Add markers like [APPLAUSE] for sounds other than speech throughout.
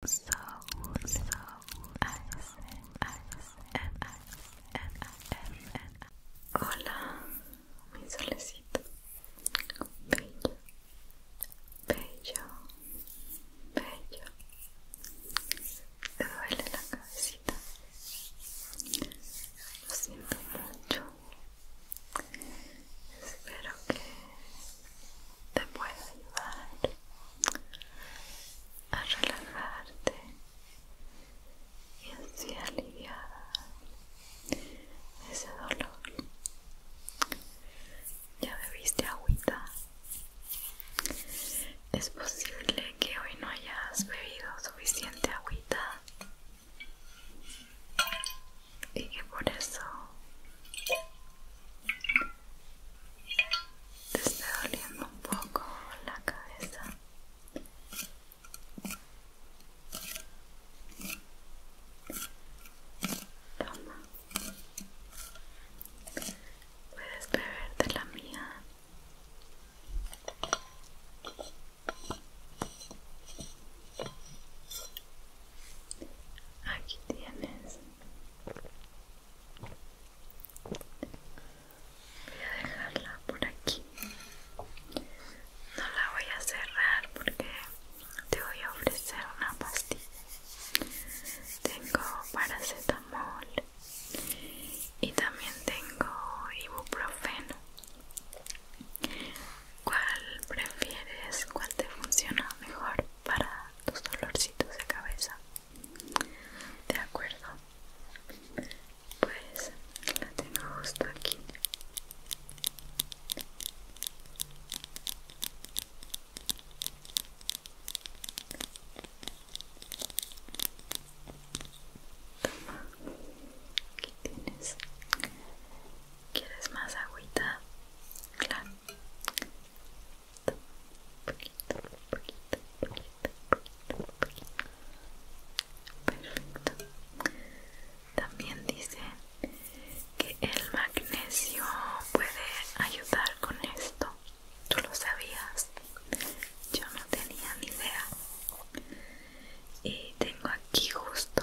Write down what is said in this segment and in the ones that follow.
Hola, mi solecito. Bello, bello, bello. Te duele la cabecita. Lo siento mucho. Espero que te puede ayudar a relajarte y así aliviar ese dolor. Ya bebiste agüita. Es posible que hoy no hayas bebido suficiente agüita y que por eso te está doliendo un poco la cabeza. Puedes beber de la mía. Aquí tienes Voy a dejarla por aquí. No la voy a cerrar porque te voy a ofrecer una pastilla. Tengo paracetamol y también tengo ibuprofeno. ¿Cuál prefieres? ¿Cuál te funciona mejor? para tus dolorcitos de cabeza de acuerdo pues la tengo justo aquí aquí tienes. ¿Quieres más agüita? Claro. Perfecto. También dice que el magnesio puede ayudar con esto. ¿Tú lo sabías? Yo no tenía ni idea. Y tengo aquí justo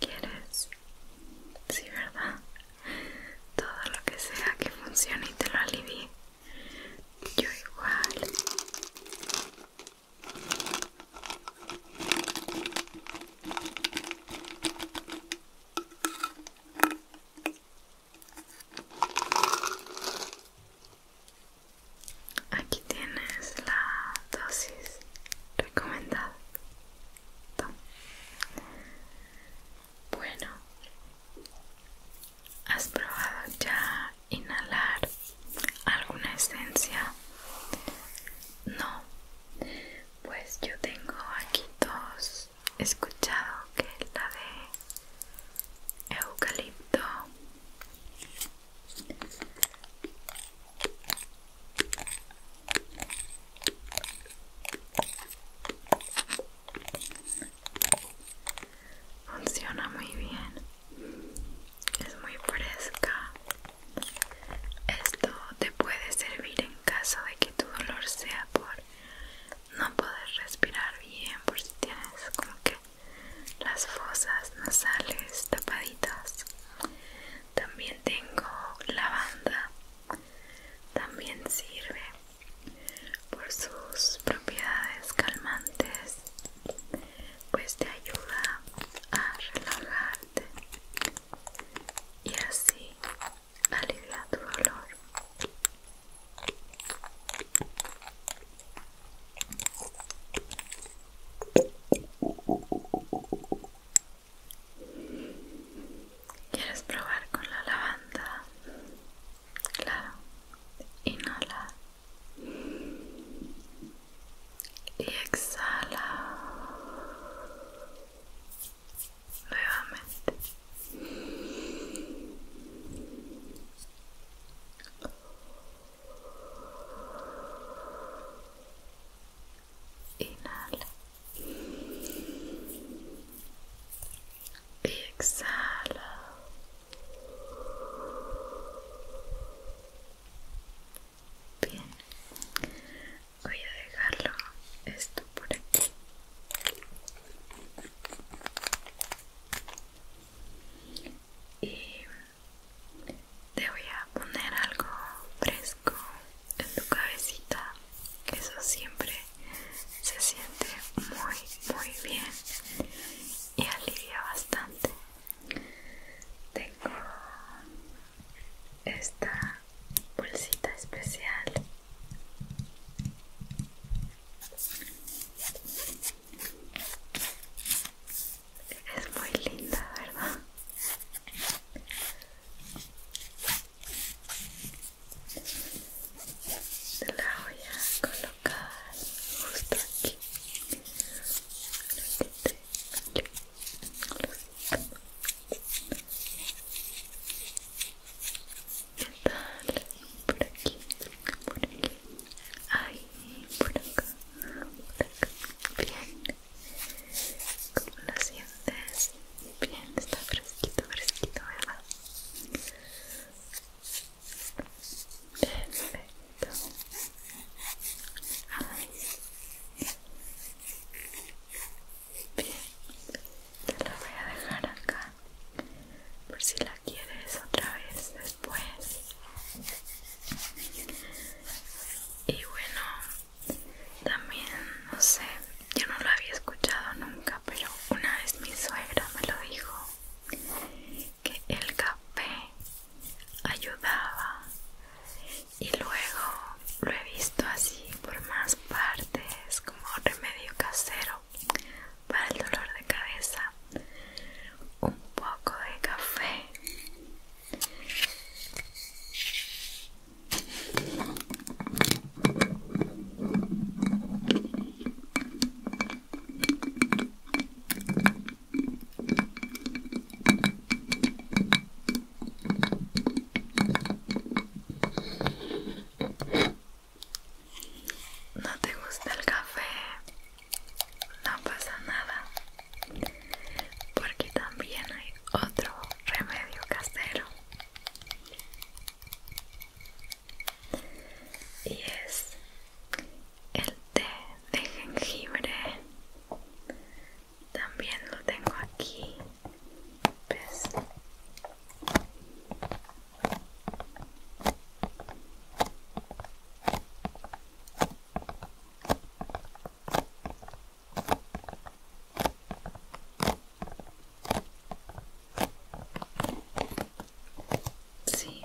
¿Quieres? Sí, ¿verdad? Todo lo que sea que funcione y te lo alivie. Yo igual. Aquí tienes la dosis recomendada. Bueno, ¿has probado ya inhalar alguna esencia? No, pues yo tengo aquí dos He escuchado que la de eucalipto funciona muy bien es muy fresca esto te puede servir en caso de que tu dolor sea por no poder respirar bien por si tienes como que las fosas nasales tapaditas. También tengo lavanda. También sirve por sus propiedades calmantes, pues te ayuda a relajarte y así alivia tu dolor. ¿Quieres probar con la lavanda? Claro, inhala y exhala nuevamente inhala y exhala bien voy a dejarlo esto por aquí y te voy a poner algo fresco en tu cabecita eso siempre se siente muy muy bien y alivia bastante tengo esta bolsita especial es muy linda, ¿verdad? La voy a colocar justo aquí qué tal, por aquí, por aquí, ahí, por acá, por acá, bien. ¿Cómo lo sientes? Bien, está fresquito, fresquito, ¿verdad? Perfecto. bien Bien, te la voy a dejar acá por si la quieres otra vez después y bueno también no sé yo no lo había escuchado nunca pero una vez mi suegra me lo dijo que el café ayudaba y luego lo he visto así por más partes como remedio casero para el dolor de cabeza un poco de café ¿No te gusta el café? No pasa nada, porque también hay otro remedio casero. Y es el té de jengibre también lo tengo aquí. Sí.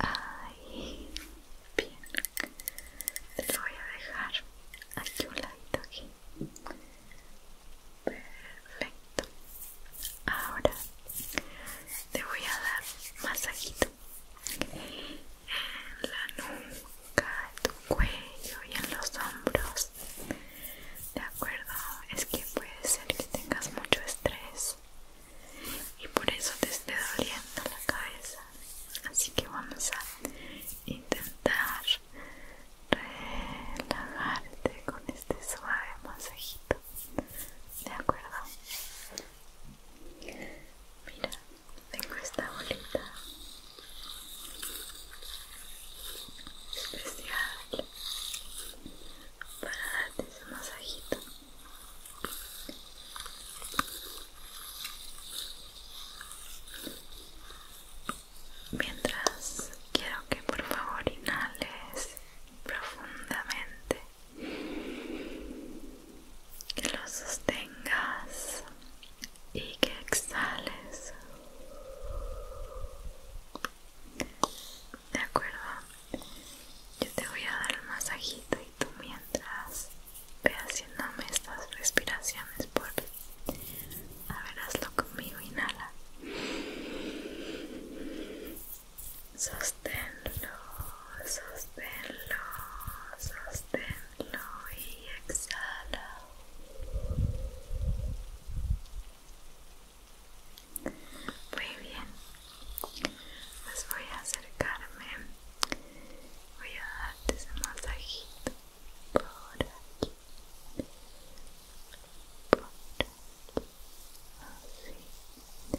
Ahí, bien, les voy a dejar aquí un ladito aquí. Perfecto. Ahora te voy a dar masajito en la nuca, en tu cuello y en los hombros. De acuerdo, es que puede ser que tengas mucho estrés y por eso te esté doliendo la cabeza. Así que vamos a intentar relajarte con este suave masajito. De acuerdo. Mira, tengo esta bolita especial para darte ese masajito. Mientras quiero que por favor inhales profundamente que lo sostengas y que exhales de acuerdo yo te voy a dar un masajito y tú mientras ve haciéndome estas respiraciones por a ver hazlo conmigo inhala sosténlo, sosténlo, sosténlo y exhala. Muy bien, pues voy a acercarme, voy a darte ese masajito por aquí, por aquí, así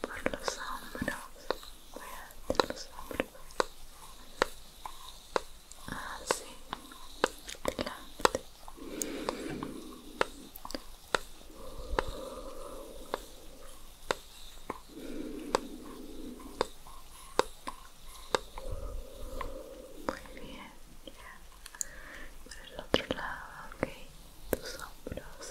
por los hombros, de los hombros, así, delante. Muy bien, ya. Por el otro lado, ok, tus hombros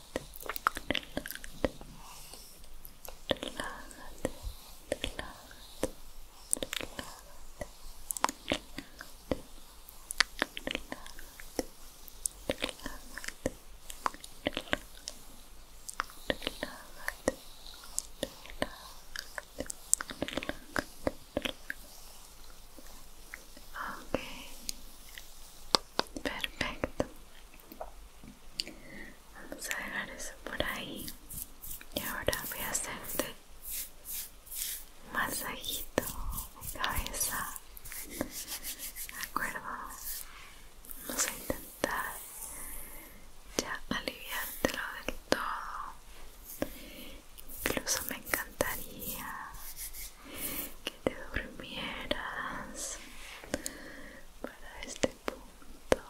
Okay. Perfecto. Vamos a dejar eso por ahí. Y ahora voy a hacerte un masajito de cabeza. ¿De acuerdo? Vamos a intentar ya aliviártelo del todo. Incluso me encantaría te durmieras para este punto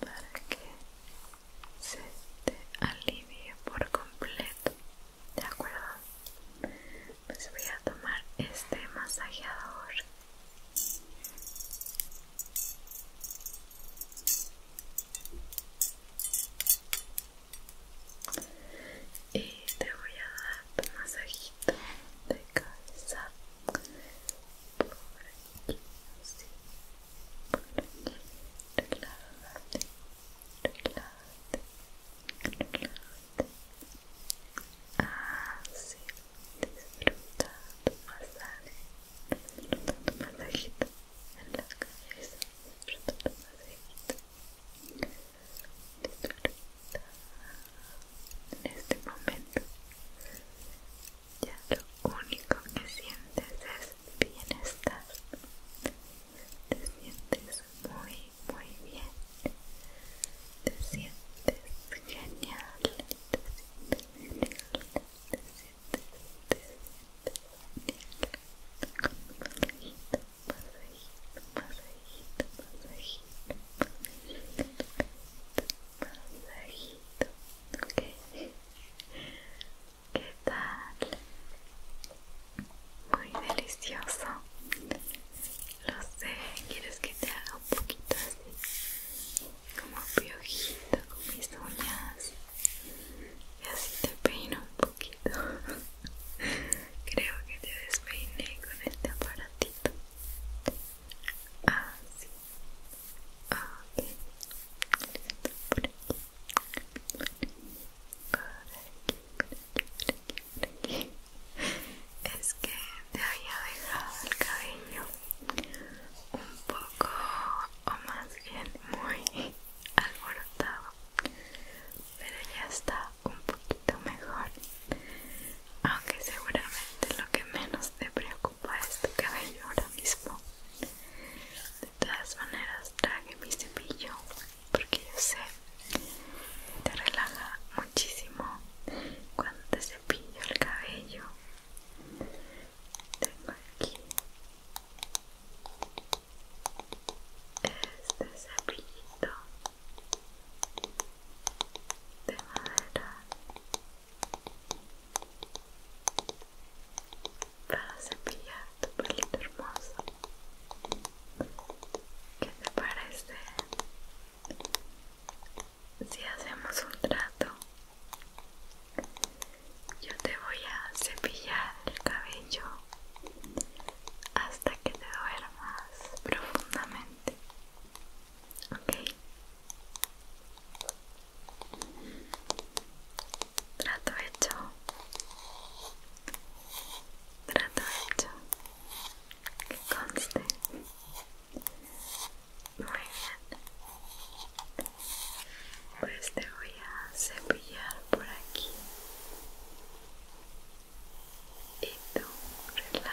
para que se te alivie por completo de acuerdo pues voy a tomar este masajeador y te voy a dar tu masajito de cabeza por aquí así por aquí relájate relájate relájate así disfruta tu masaje disfruta tu masajito en la cabeza disfruta tu masajito en este momento ya lo único que sientes es bienestar te sientes muy muy bien te sientes genial te sientes genial te sientes te sientes pasajito, pasajito, pasajito, pasajito, pasajito, ok ¿Qué tal? Muy delicioso. Lo sé, quieres que te haga un poquito así, como piojito con mis uñas. Y así te peino un poquito [LAUGHS] Creo que te despeiné con este aparatito. Así. Ah, ah, ok. Por aquí. Por aquí, por aquí, por aquí. Es que te había dejado el cabello un poco, o más bien muy alborotado. [LAUGHS] pero ya está un poquito mejor aunque seguramente lo que menos te preocupa es tu cabello ahora mismo de todas maneras traje mi cepillo porque yo sé que te relaja muchísimo cuando te cepillo el cabello tengo aquí este cepillito de madera para cepillar tu pelito hermoso que te parece? si hacemos un trato yo te voy a cepillar el cabello hasta que te duermas profundamente. Ok. Trato hecho. Trato hecho. Que conste. Muy bien. Pues te voy a cepillar por aquí y tú relájate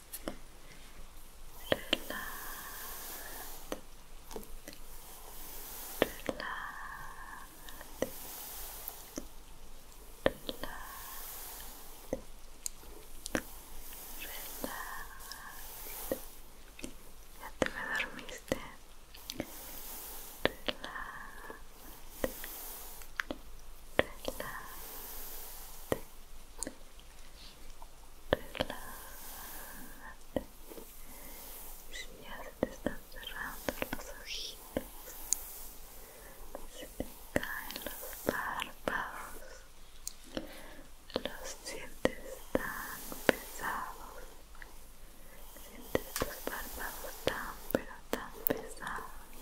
Ya te me dormiste relájate ya se te están cerrando los ojitos se te caen los párpados los sientes tan pesados sientes tus párpados tan pero tan pesados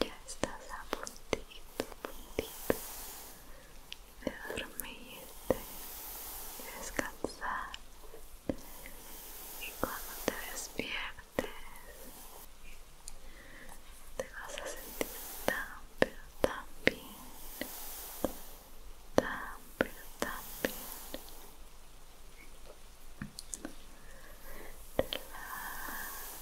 ya estás a de dormirte, de descansar y cuando te despiertes te vas a sentir tan pero tan bien tan pero tan bien